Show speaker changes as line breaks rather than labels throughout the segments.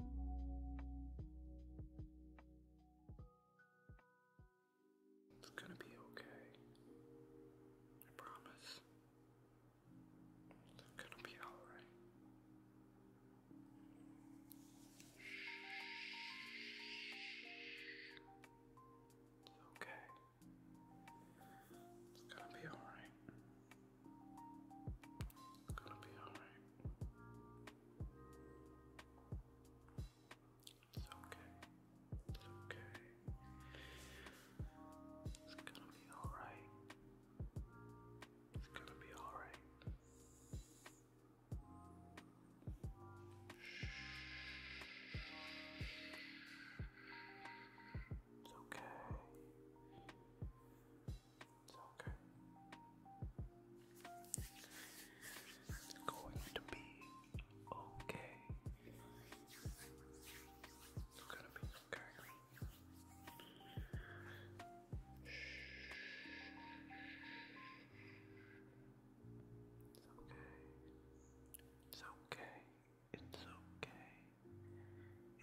It's gonna be okay. I promise. It's gonna be alright. It's okay. It's gonna be alright. It's gonna be alright. It's okay. It's okay. It's gonna be alright. It's gonna be alright. It's okay. It's okay. It's going to be okay. It's gonna be okay. It's okay. It's okay. It's okay.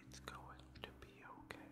It's going to be okay.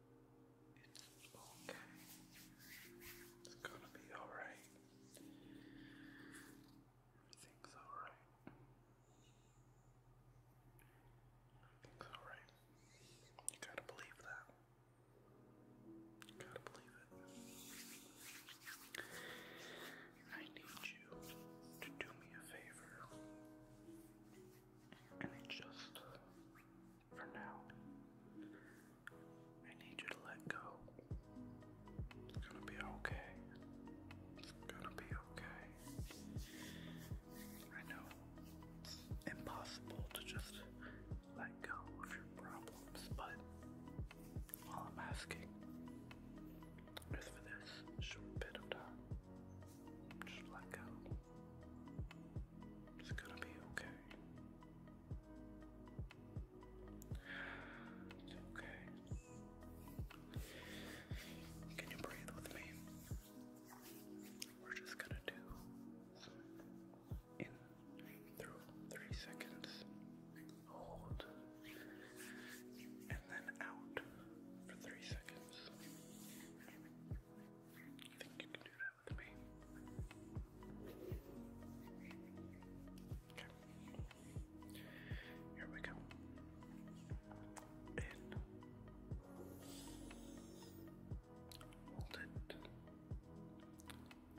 It's okay. It's gonna be alright. Everything's alright. Everything's alright. You gotta believe that. You gotta believe it. I need you to do me a favor. And just for now. I need you to let go. It's gonna be okay. It's gonna be okay. I know it's impossible to just let go of your problems, but all I'm asking is for this short bit of time. Just let go. It's gonna be okay. It's okay. Can you breathe with me? We're just gonna do in through three seconds. Hold and then out for three seconds. think you can can do Here we go. In. Hold it.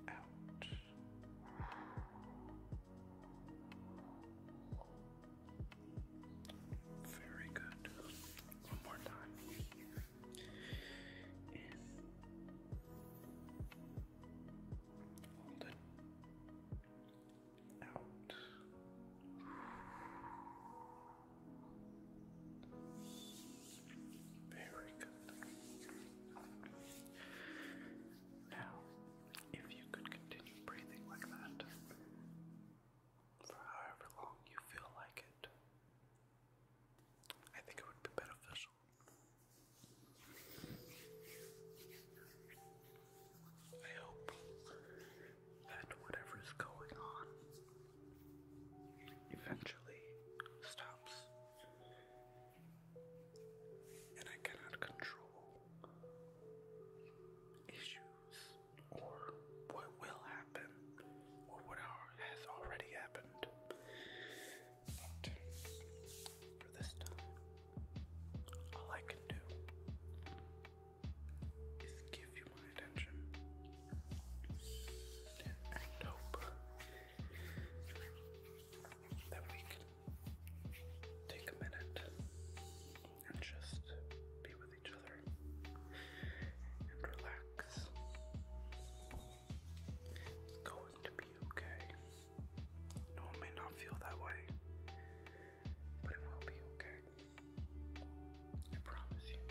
Out. Very good. One more time and it out. Very good. Now, if you could continue breathing like that for however long you feel like it, I think it would be beneficial. I hope that whatever is going on eventually stops. And I cannot control issues or what will happen, or what has already happened. But for this time, all I can do is give you my attention and hope that we can take a minute and just be each other and relax. It's going to be okay. No, it may not feel that way, but it will be okay. I promise you.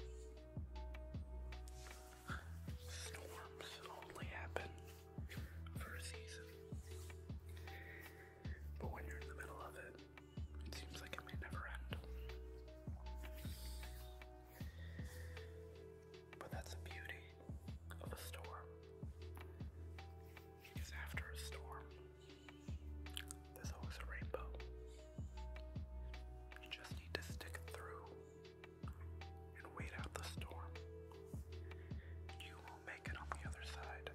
Storms only happen for a season. But when you're in the middle of it, it seems like it may never end. But that's the beauty of a storm. Because after a storm, there's always a rainbow. You just need to stick through and wait out the storm. You will make it on the other side.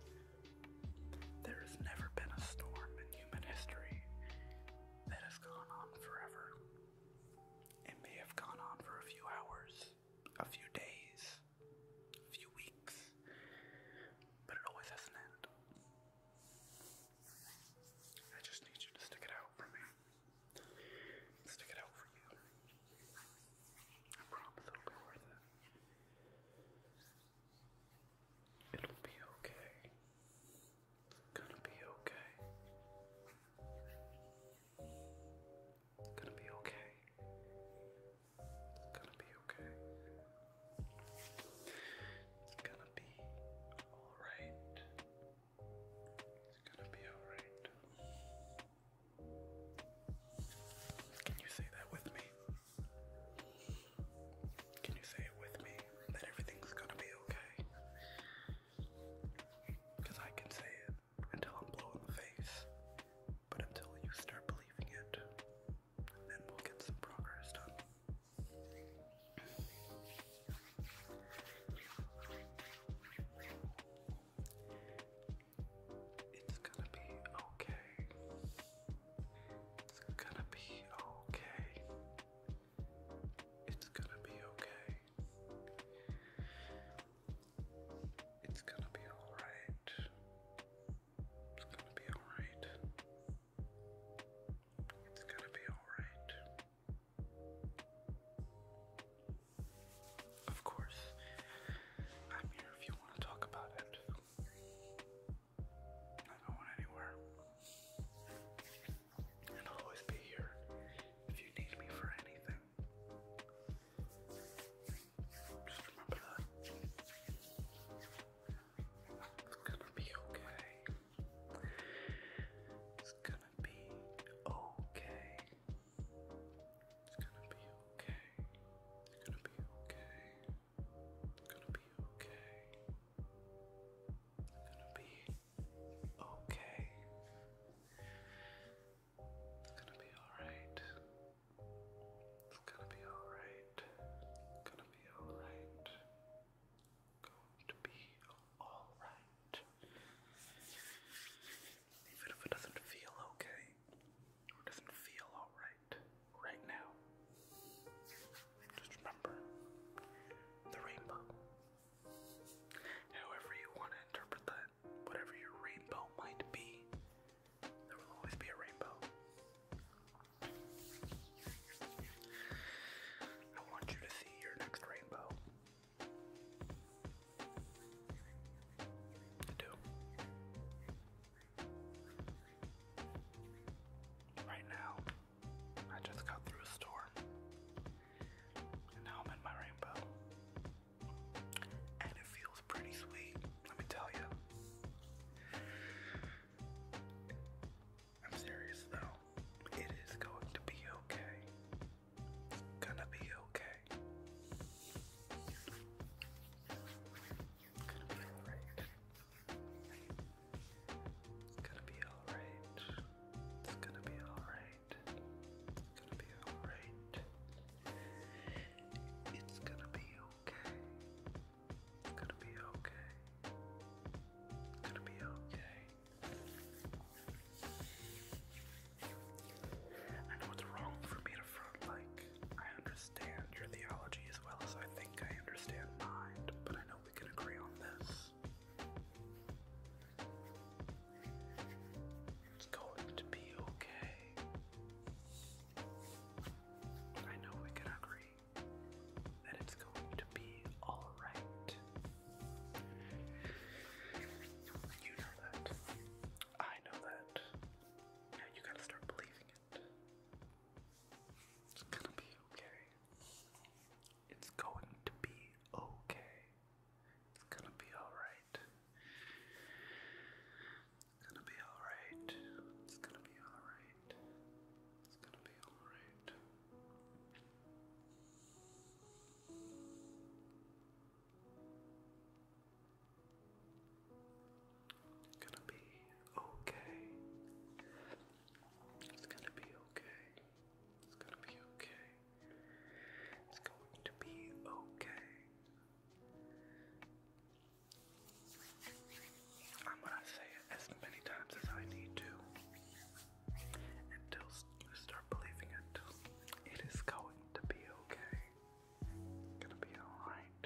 There has never been a storm in human history that has gone on forever. It may have gone on for a few hours, a few days, a few weeks, but it always has an end. I just need you to stick it out for me. Stick it out for you. I promise it'll be worth it. It'll be okay. It's gonna be okay. It's gonna be okay. It's gonna be okay. It's gonna be alright. It's gonna be alright. Can you say that with me? Can you say it with me that everything's gonna be okay? Because I can say it until I'm blue in the face, but until you start believing it, then we'll get some progress done. It's gonna be okay. It's gonna be okay. It's gonna be okay. It's gonna be alright. It's gonna be alright. It's gonna be alright. Of course, I'm here if you want to talk about it. Not going anywhere. I'll always be here if you need me for anything. Just remember that. It's gonna be okay. It's gonna be okay. It's gonna be okay. It's gonna be okay. It's gonna be okay gonna be okay. It's gonna be alright. It's gonna be alright. Gonna be alright. Going to be alright. Even if it doesn't feel okay, or doesn't feel alright right now, just remember the rainbow. However, you want to interpret that, whatever your rainbow might be, there will always be a rainbow. I want you to see your next rainbow. I do. Right now, I just got through a storm. And now I'm in my rainbow. And it feels pretty sweet, let me tell you. I'm serious though. It is going to be okay. Gonna be okay. Gonna be alright. It's gonna be alright. It's gonna be alright. It's gonna be alright. It's gonna be okay. It's gonna be okay. It's gonna be okay. I know it's wrong for me to front like I understand your theology as well as I think I understand mine, but I know we can agree on this. It's going to be okay. I know we can agree that it's going to be alright. You know that. I know that. Now you gotta start believing it. It's gonna be okay. It's going to be okay. It's gonna be alright. It's gonna be alright. It's gonna be alright. It's gonna be alright. It's gonna be okay. It's gonna be okay. It's gonna be okay. It's going to be okay. I'm gonna say it as many times as I need to until you start believing it. It is going to be okay. gonna be alright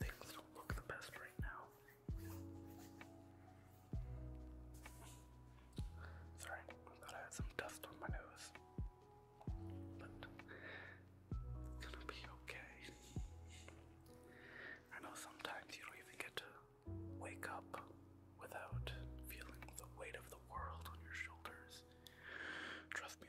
things don't look the best right now. Sorry, I thought I had some dust on my nose. But it's gonna be okay. I know sometimes you don't even get to wake up without feeling the weight of the world on your shoulders. Trust me,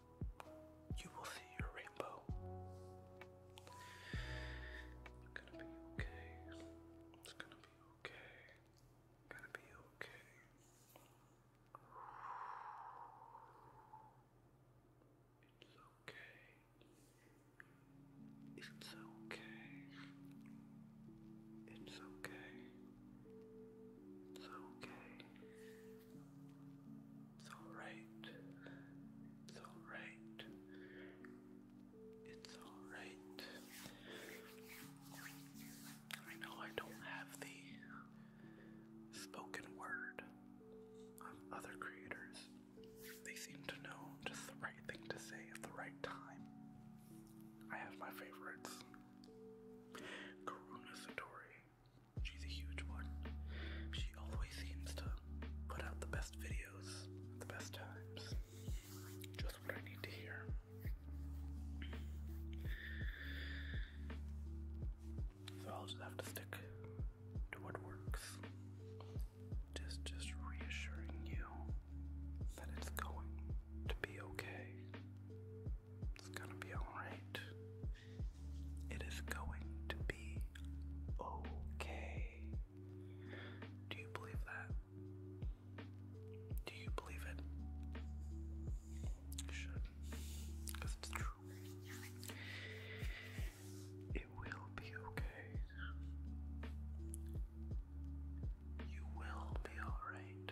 you will see your rainbow. It's gonna be okay. It's gonna be okay. Gonna be okay. It's okay. It's okay. It's okay. It's okay. It's alright. It's alright. It's alright. I know I don't have the spoken word of other creators. They seem to know just the right thing to say at the right time. I have my favorites. Karuna Satori, She's a huge one. She always seems to put out the best videos at the best times. Just what I need to hear. So I'll just have to stick to what works. Just just reassuring you that it's going to be okay. It's gonna be alright. It is going to be okay. Do you believe that? Do you believe it? You should, because it's true. It will be okay. You will be alright.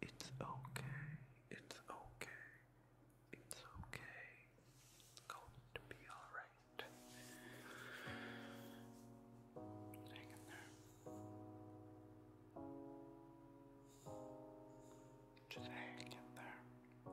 It's okay. It's okay. It's okay. It's okay. going to be alright. Hang there. Just hang there.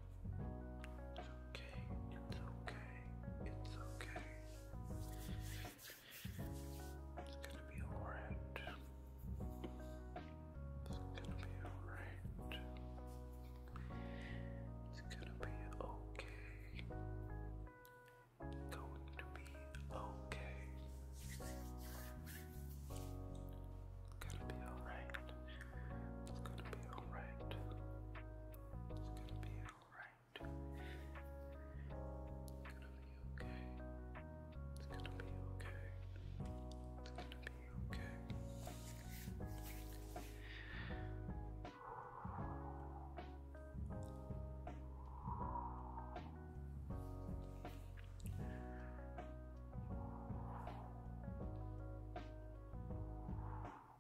It's okay, it's okay, it's okay. It's gonna be alright. It's gonna be alright. It's gonna be okay. Going to be okay. It's gonna be alright. It's gonna be alright. It's gonna be alright. It's gonna be okay. It's gonna be okay. It's gonna be okay.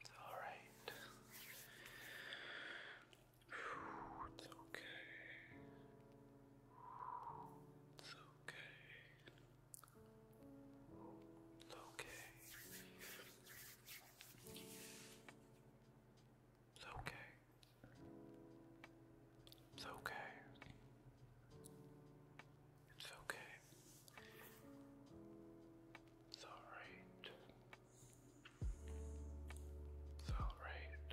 It's alright. It's okay. It's okay. It's okay. It's okay. It's okay. It's okay. It's alright. It's alright.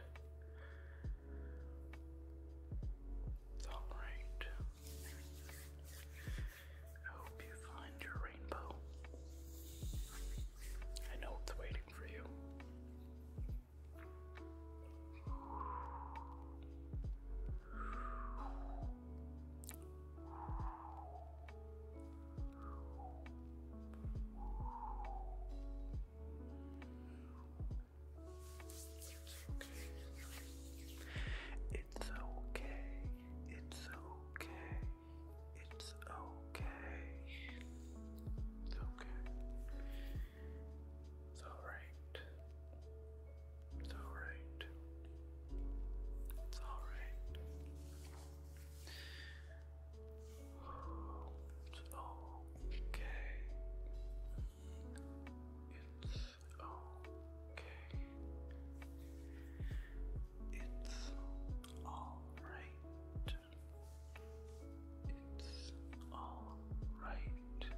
It's alright. I hope you find your rainbow. I know it's waiting for you. It's okay. It's okay. It's okay. It's okay. It's alright. It's alright. It's all right. It's okay. It's okay. It's all right. It's all right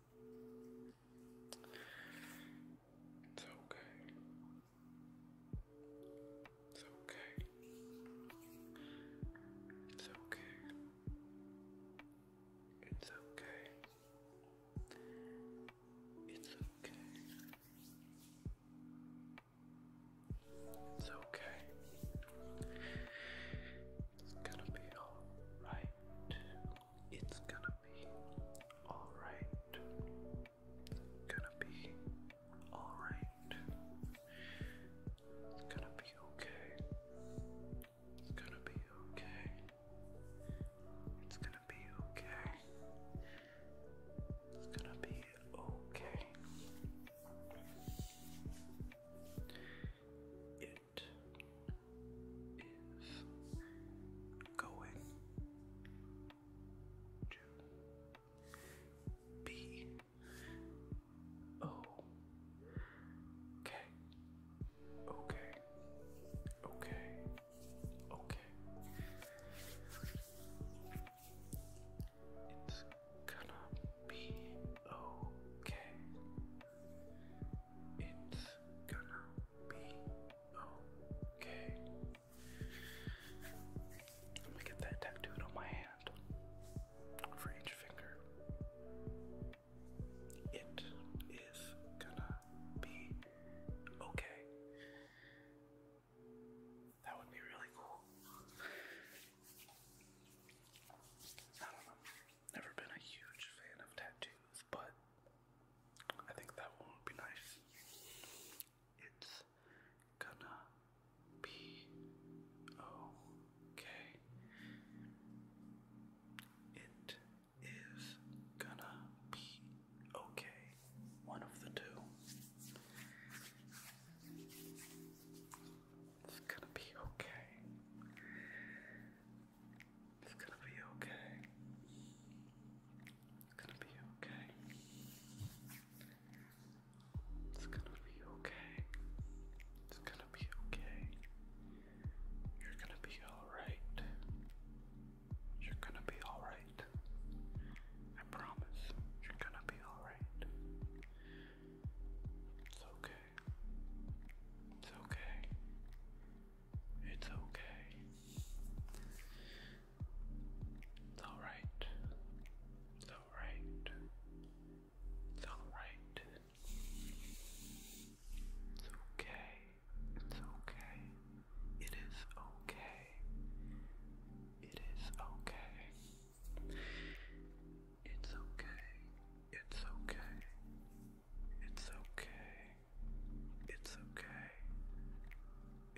It's okay. It's okay. It's okay. It's okay. It's okay. It's okay. It's gonna be alright. It's gonna be alright. Gonna be alright. It's gonna be okay. It's gonna be okay. It's gonna be okay. It's gonna be okay. It is going to be okay. Okay. Okay. Okay. It's gonna be okay. It's gonna be Okay. I'm get that tattooed on my hand for each finger. It is gonna be okay. That would be really cool. I don't know. Never been a huge fan of tattoos, but I think that one would be nice. It's gonna be okay. It is gonna be okay. One of the two. It's gonna be okay. It's gonna be okay. It's gonna be okay. It's gonna be okay. It's gonna be okay. You're gonna be alright. You're gonna be alright. I promise. You're gonna be alright. It's okay. It's okay. It's okay. It's alright. It's alright. It's alright. It's okay. It's okay. It is okay. It is okay. It's okay. It's okay. It's okay it's okay. It's okay.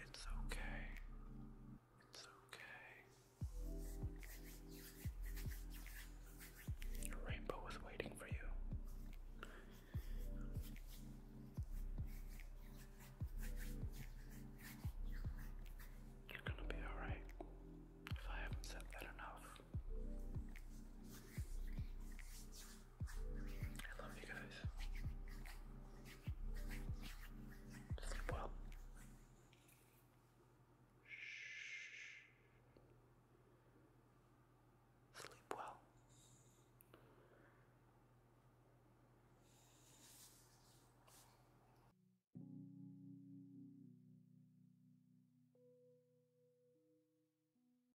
It's okay. It's okay. Your rainbow is waiting for you. You're gonna be alright if I haven't said that enough. I love you guys. Sleep well. Shh. Sleep well.